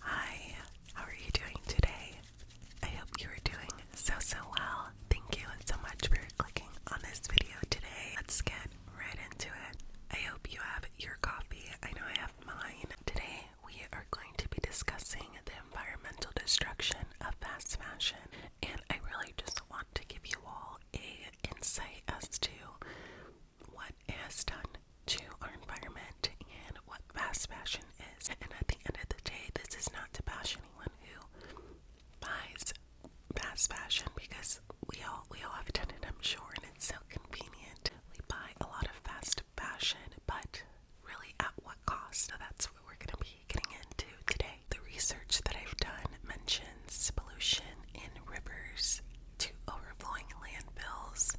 Hi, how are you doing today? I hope you are doing so, so well. Thank you so much for clicking on this video today. Let's get right into it. I hope you have your coffee. I know I have mine. Today, we are going to be discussing the environmental destruction of fast fashion, and I really just want to give you all a insight as to what it has done to our environment and what fast fashion is. And at the end of the day, this is not to bash anyone who buys fast fashion because we all we all have done it, I'm sure, and it's so convenient. We buy a lot of fast fashion, but really at what cost? So that's what we're gonna be getting into today. The research that I've done mentions pollution in rivers to overflowing landfills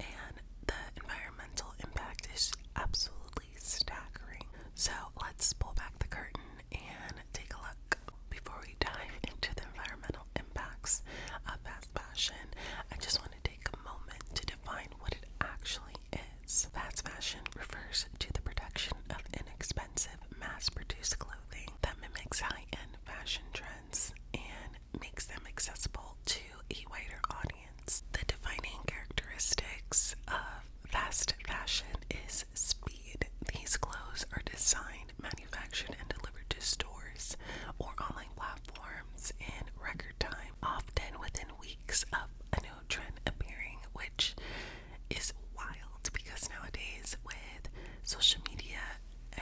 and the environmental impact is absolutely staggering. So let's pull back the curtain and take a look. Before we dive into the environmental impacts of fast fashion, I just want to take a moment to define what it actually is. Fast fashion refers to the production of inexpensive, mass produced clothing that mimics high end fashion trends and makes them accessible to a wider audience. The defining characteristics of fast fashion is speed. These clothes are designed, manufactured, and delivered to stores or online platforms in record time, often within weeks of a new trend appearing, which is wild because nowadays with social media,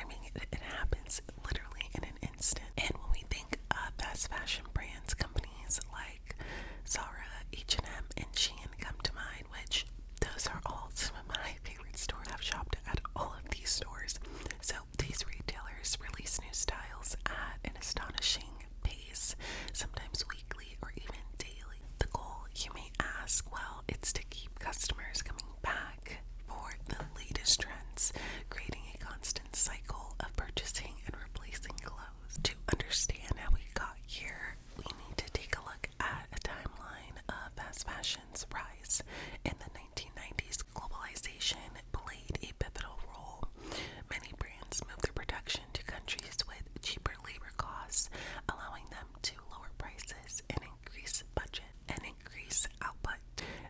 I mean, it, happens literally in an instant. And when we think of fast fashion brands, companies like Zara, H&M, and Shein come to mind, which those are all some of my favorite stores. I've shopped at all of these stores. So these retailers release new styles at an astonishing pace, sometimes weekly or even daily. The goal, you may ask, well, it's to keep customers coming back for the latest trends, creating a constant cycle of purchasing and replacing clothes. To understand how we got here, we need to take a look at a timeline of fast fashion's rise. In the 1990s, globalization played a pivotal role. Many brands moved their production to countries with cheaper labor costs, allowing them to lower prices and increase budgets and increase output.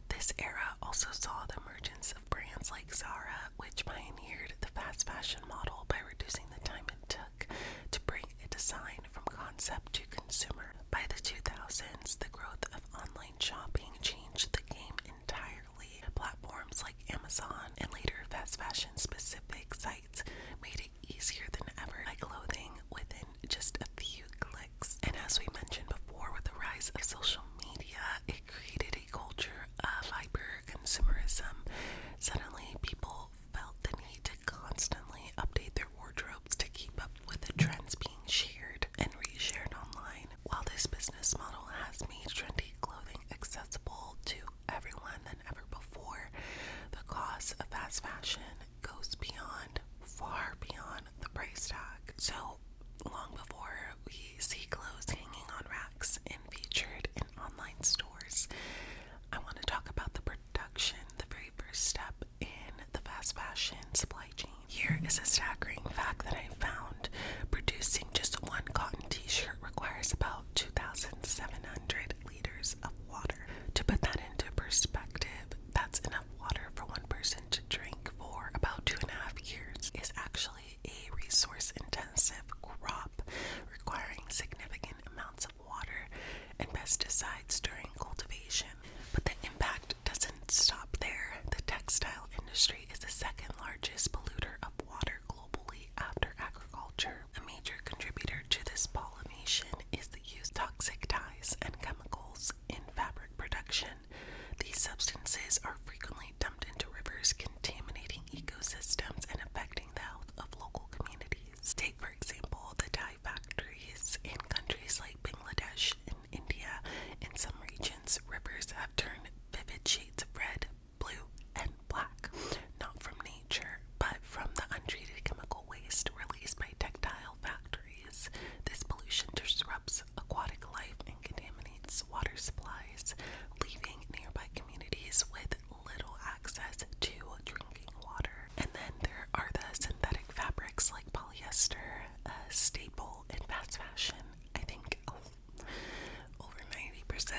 This era also saw the emergence of brands like Zara, which pioneered the fast fashion model by reducing the time it took to bring a design from concept to consumer. By the 2000s, the growth of online shopping changed the game entirely. Platforms like Amazon and later fast fashion specific sites made it easier than ever to clothing within just a few clicks. And as we mentioned before, with the rise of social media, it created a culture of hyper consumerism. Suddenly, people felt the need to constantly update their wardrobes to keep up with the trends being shared and reshared online. While this business model has made trendy clothing accessible to everyone than ever before, the cost of fast fashion goes beyond, far beyond the price tag. So long before we see clothes hanging on racks and featured in online stores, I want to talk about the production, the very first step in the fast fashion supply chain. Here is a staggering fact that I found. Producing just one cotton t-shirt requires about 2,700 liters of water. To put that into perspective, that's enough water for one person to drink for about two and a half years is actually a resource intensive crop requiring significant amounts of water and pesticides during cultivation. But the impact doesn't stop there. The textile industry is the second largest polluter of water globally after agriculture. A major contributor to this pollution is the use of toxic dyes and chemicals in fabric production these substances are frequently dumped into rivers, contaminating ecosystems and affecting the health of local communities. Take, for example, the dye factories in countries like Bangladesh and India. In some regions, rivers have turned vivid shades of red, blue, and black, not from nature, but from the untreated chemical waste released by textile factories. This pollution disrupts aquatic life and contaminates water supplies, leaving nearby communities with little access to drinking water. And then there are the synthetic fabrics like polyester, a uh, staple in fast fashion. I think over 90%.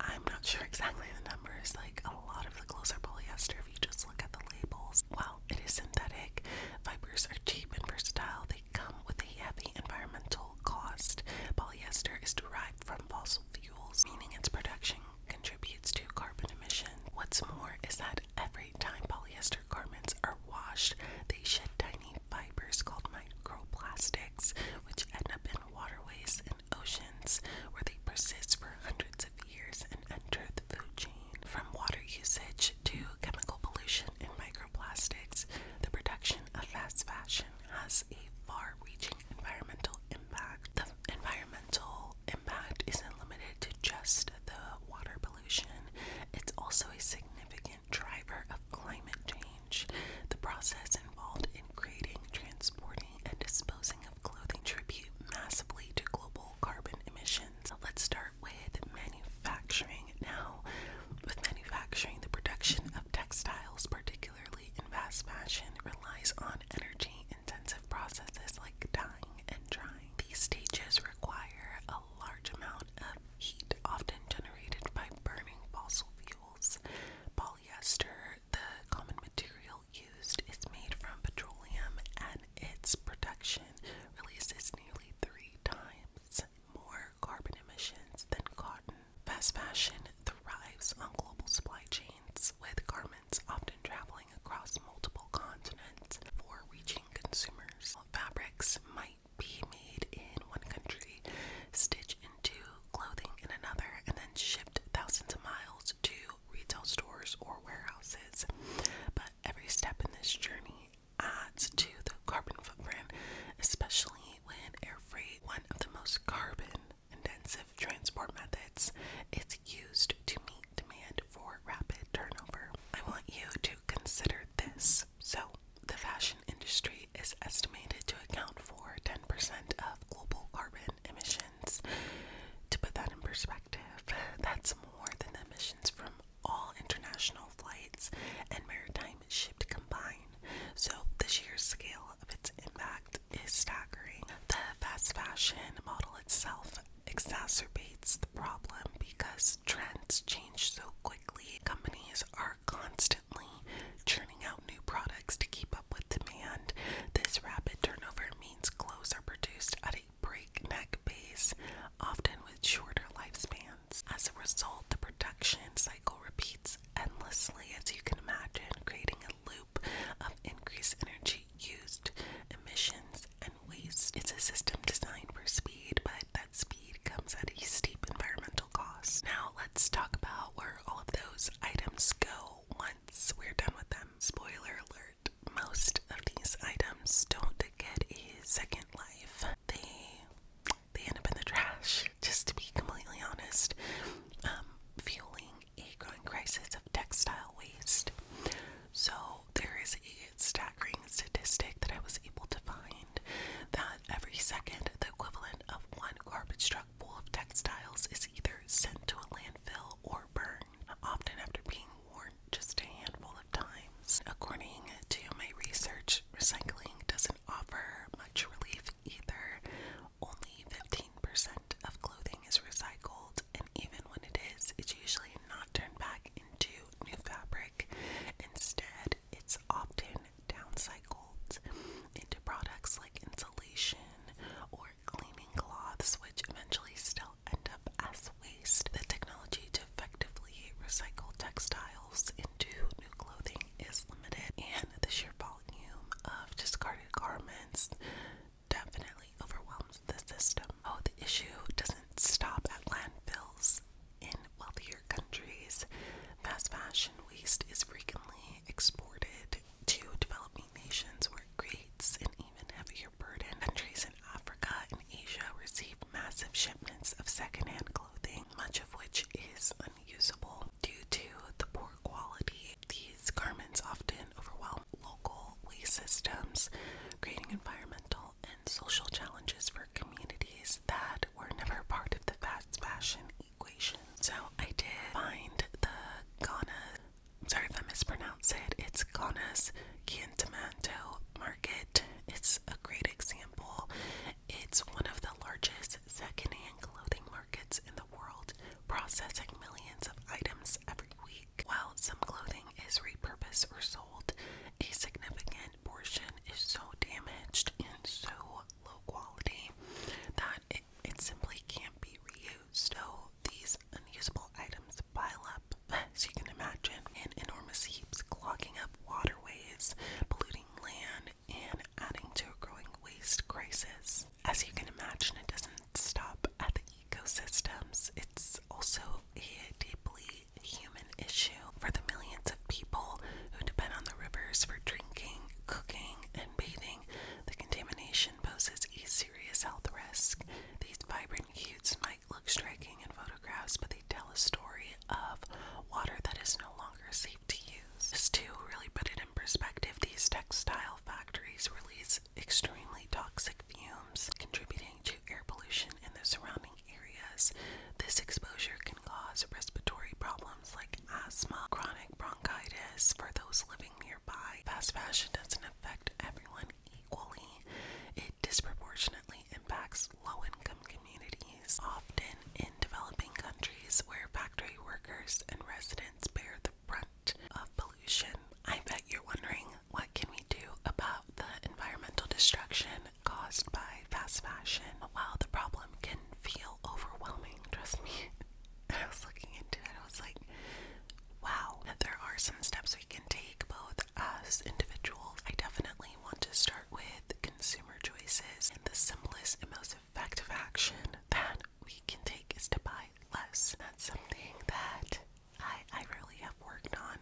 I'm not sure exactly the numbers, like a lot of the clothes are polyester if you just look at the labels. While it is synthetic, fibers are cheap and versatile. They come with a heavy environmental cost. Polyester is derived from fossil fuels, meaning its production contributes to carbon emission. What's more is that every time polyester garments are washed, they shed tiny fibers called microplastics, which end up in waterways and oceans, where they persist for hundreds of years and enter the food chain from water usage to chemical pollution and microplastics, the production of fast fashion has a far reaching environmental impact. The environmental impact isn't limited to just the water pollution, it's also a significant driver of climate change. The process involved in creating, transporting, and disposing of clothing contributes massively to global carbon emissions. Let's start with manufacturing. Now, with manufacturing, the production of textiles, particularly in fast fashion, relies on energy intensive processes like dyeing and drying. These stages require a large amount of heat, often generated by burning fossil fuels. Polyester, the common material used, is made from petroleum and its production releases nearly three times more carbon emissions than cotton. Fast fashion thrives on global supply chains, with garments often traveling across multiple continents for reaching consumers. Fabrics might be made in one country, stitched into clothing in another, and then shipped thousands of miles to retail stores or warehouses. But every step in this journey adds to the carbon footprint, especially when air freight, one of the most carbon intensive transport methods, is used to meet demand for rapid turnover. I want you to consider this. So, the fashion industry is estimated to account for 10% of global carbon emissions. To put that in perspective, that's more than the emissions from all international flights and maritime shipped combined, so the sheer scale of its impact is staggering. The fast fashion model itself exacerbates the problem because trends change so quickly. Companies are constantly churning out new products to keep up with demand. This rapid turnover means clothes are produced at a breakneck pace, often with shorter lifespans. As a result, the production cycle repeats endlessly, as you can imagine, creating a loop of increased energy used, emissions, and waste. It's a system designed for speed, but that speed comes at a steep environmental cost. Now, let's talk about where all of those items go once we're done with them. Spoiler alert most of these items don't get a second life, they they end up in the trash, just to be completely honest, um, fueling a growing crisis of textile waste. So, there is a staggering statistic that I was able to find that every second, the equivalent of one garbage truck full of textiles is either sent to a landfill or burned, often after being worn just a handful of times. According to my research, recycling doesn't offer much relief either. Only 15% of clothing is recycled, and even when it is, it's usually not turned back into new fabric. Instead, it's often downcycled into products like insulation or cleaning cloths, which eventually still end up as waste. The technology to effectively recycle textiles into new clothing is limited, and the sheer volume of discarded garments definitely overwhelms the system. Oh, the issue doesn't stop at landfills. In wealthier countries, fast fashion waste is frequently exported to developing nations where it creates an even heavier burden. Countries in Africa and Asia receive massive shipments of secondhand clothes much of which is unusable due to the poor quality. These garments often overwhelm local waste systems, creating environmental and social challenges for communities that were never part of the fast fashion equation. So I did find the Ghana, sorry if I mispronounced it, it's Ghana's Cantamanto Market. It's a great example. It's one of the largest secondhand clothing markets in the world, processing millions of items every week. While some clothing is repurposed or sold, a significant portion is so damaged and so low quality that it, simply can't be reused. So these unusable items pile up, as you can imagine, in enormous heaps, clogging up waterways, polluting land, and adding to a growing waste crisis. As you can imagine, it doesn't stop at the ecosystems, it's also a deeply human issue for the millions of people who depend on the rivers for drinking, cooking, and bathing. The contamination poses a serious health risk. These vibrant cutes might look striking in photographs, but they tell a story of water that is no longer safe to use. to really put it in perspective, these textile factories release extremely toxic fumes, contributing to air pollution in the surrounding areas. This exposure can cause respiratory problems like asthma, chronic bronchitis for those living nearby. Fast fashion doesn't affect everyone equally disproportionately impacts low income communities, often in developing countries where factory workers and residents bear the brunt of pollution. I bet you're wondering what can we do about the environmental destruction caused by fast fashion? While the problem can feel overwhelming, trust me. I was looking into it, I was like, wow, there are some steps we can take both as individuals. I definitely want to start with consumer choices and the simplest and most effective action that we can take is to buy less. That's something that I, I really have worked on,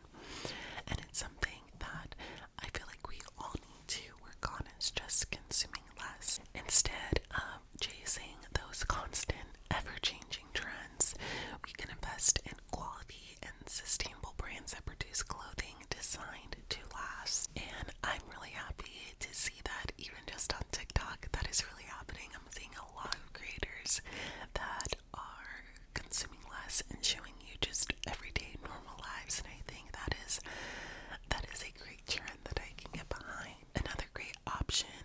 and it's something that I feel like we all need to work on is just consuming less instead of chasing those constant, ever changing trends. We can invest in quality and sustainable brands that produce clothing designed to last. And I'm really happy to see that even just on TikTok, that is really happening. I'm seeing a lot of creators that are consuming less and showing you just everyday normal lives, and I think that is that is a great trend that I can get behind. Another great option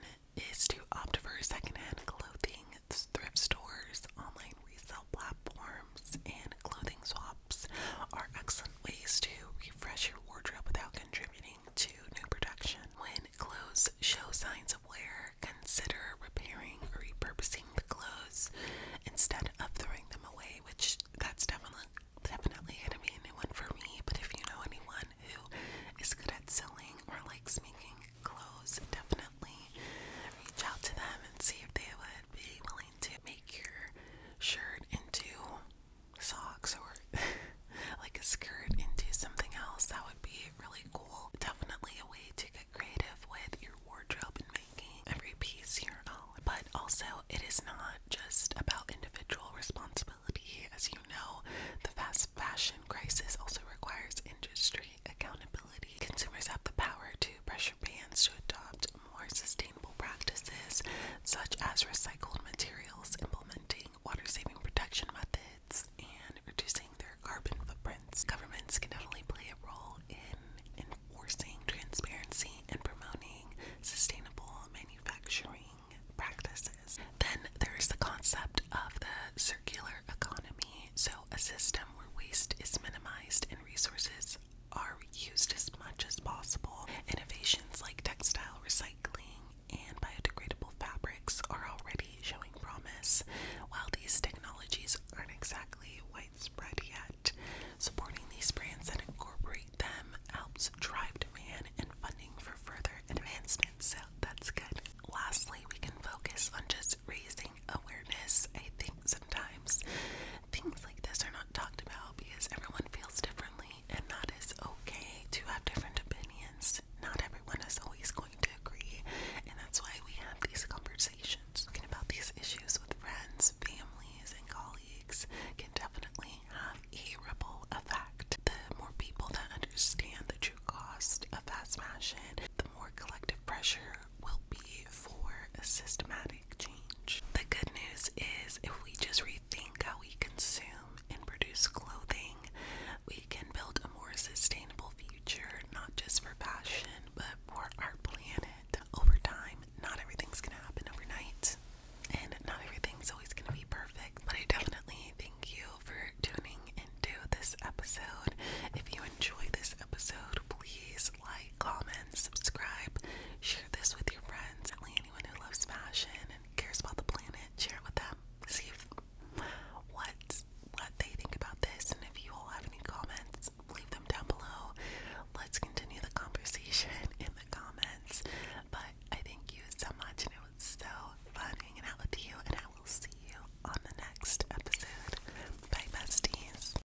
is to opt for secondhand clothing, thrift stores, online resale platforms and clothing swaps are excellent ways to refresh your wardrobe without contributing to new production. When clothes show signs of wear, consider repairing or repurposing the clothes instead of throwing them away, which that's definitely definitely gonna be a new one for me. But if you know anyone who is good at sewing or likes making clothes, definitely reach out to them and see if they would be willing to make your shirt into socks or like a skirt into something else. That would be really cool. Definitely a way to get creative with your wardrobe and making every piece your own. But also, it is not just about individual responsibility. As you know, the fast fashion crisis also requires industry accountability Consumers have the power to pressure brands to adopt more sustainable practices, such as recycled materials, implementing water saving production methods, and reducing their carbon footprints. Governments can definitely play a role in enforcing transparency and promoting sustainable manufacturing practices. Then there's the concept of the circular economy, so a system where waste is minimized and resources are used as much as possible. Innovations like textile recycling and biodegradable fabrics are already showing promise. While these technologies aren't exactly widespread yet, supporting these brands that incorporate them helps drive demand and funding for further advancements. So that's good. Lastly, we can focus on just raising awareness. I think sometimes things like this are not talked about because everyone feels differently, and that is okay to have different opinions. Not everyone is always going to agree, and that's why we have these conversations. Talking about these issues with friends, families, and colleagues can definitely have a ripple effect. The more people that understand the true cost of fast fashion, the more collective pressure will be for a systematic change. The good news is if we just rethink how we consume and produce clothing, we can build a more sustainable future, not just for fashion, but for our planet over time. Not everything's gonna happen overnight, and not everything's always gonna be perfect, but I definitely thank you for tuning into this episode. If you enjoy this episode, please like, comment, subscribe, share this with your friends. anyone who loves fashion and cares about the planet, share it with them. See what what they think about this, and if you all have any comments, leave them down below. Let's continue the conversation in the comments. But I thank you so much, and it was so fun hanging out with you. And I will see you on the next episode. Bye, besties.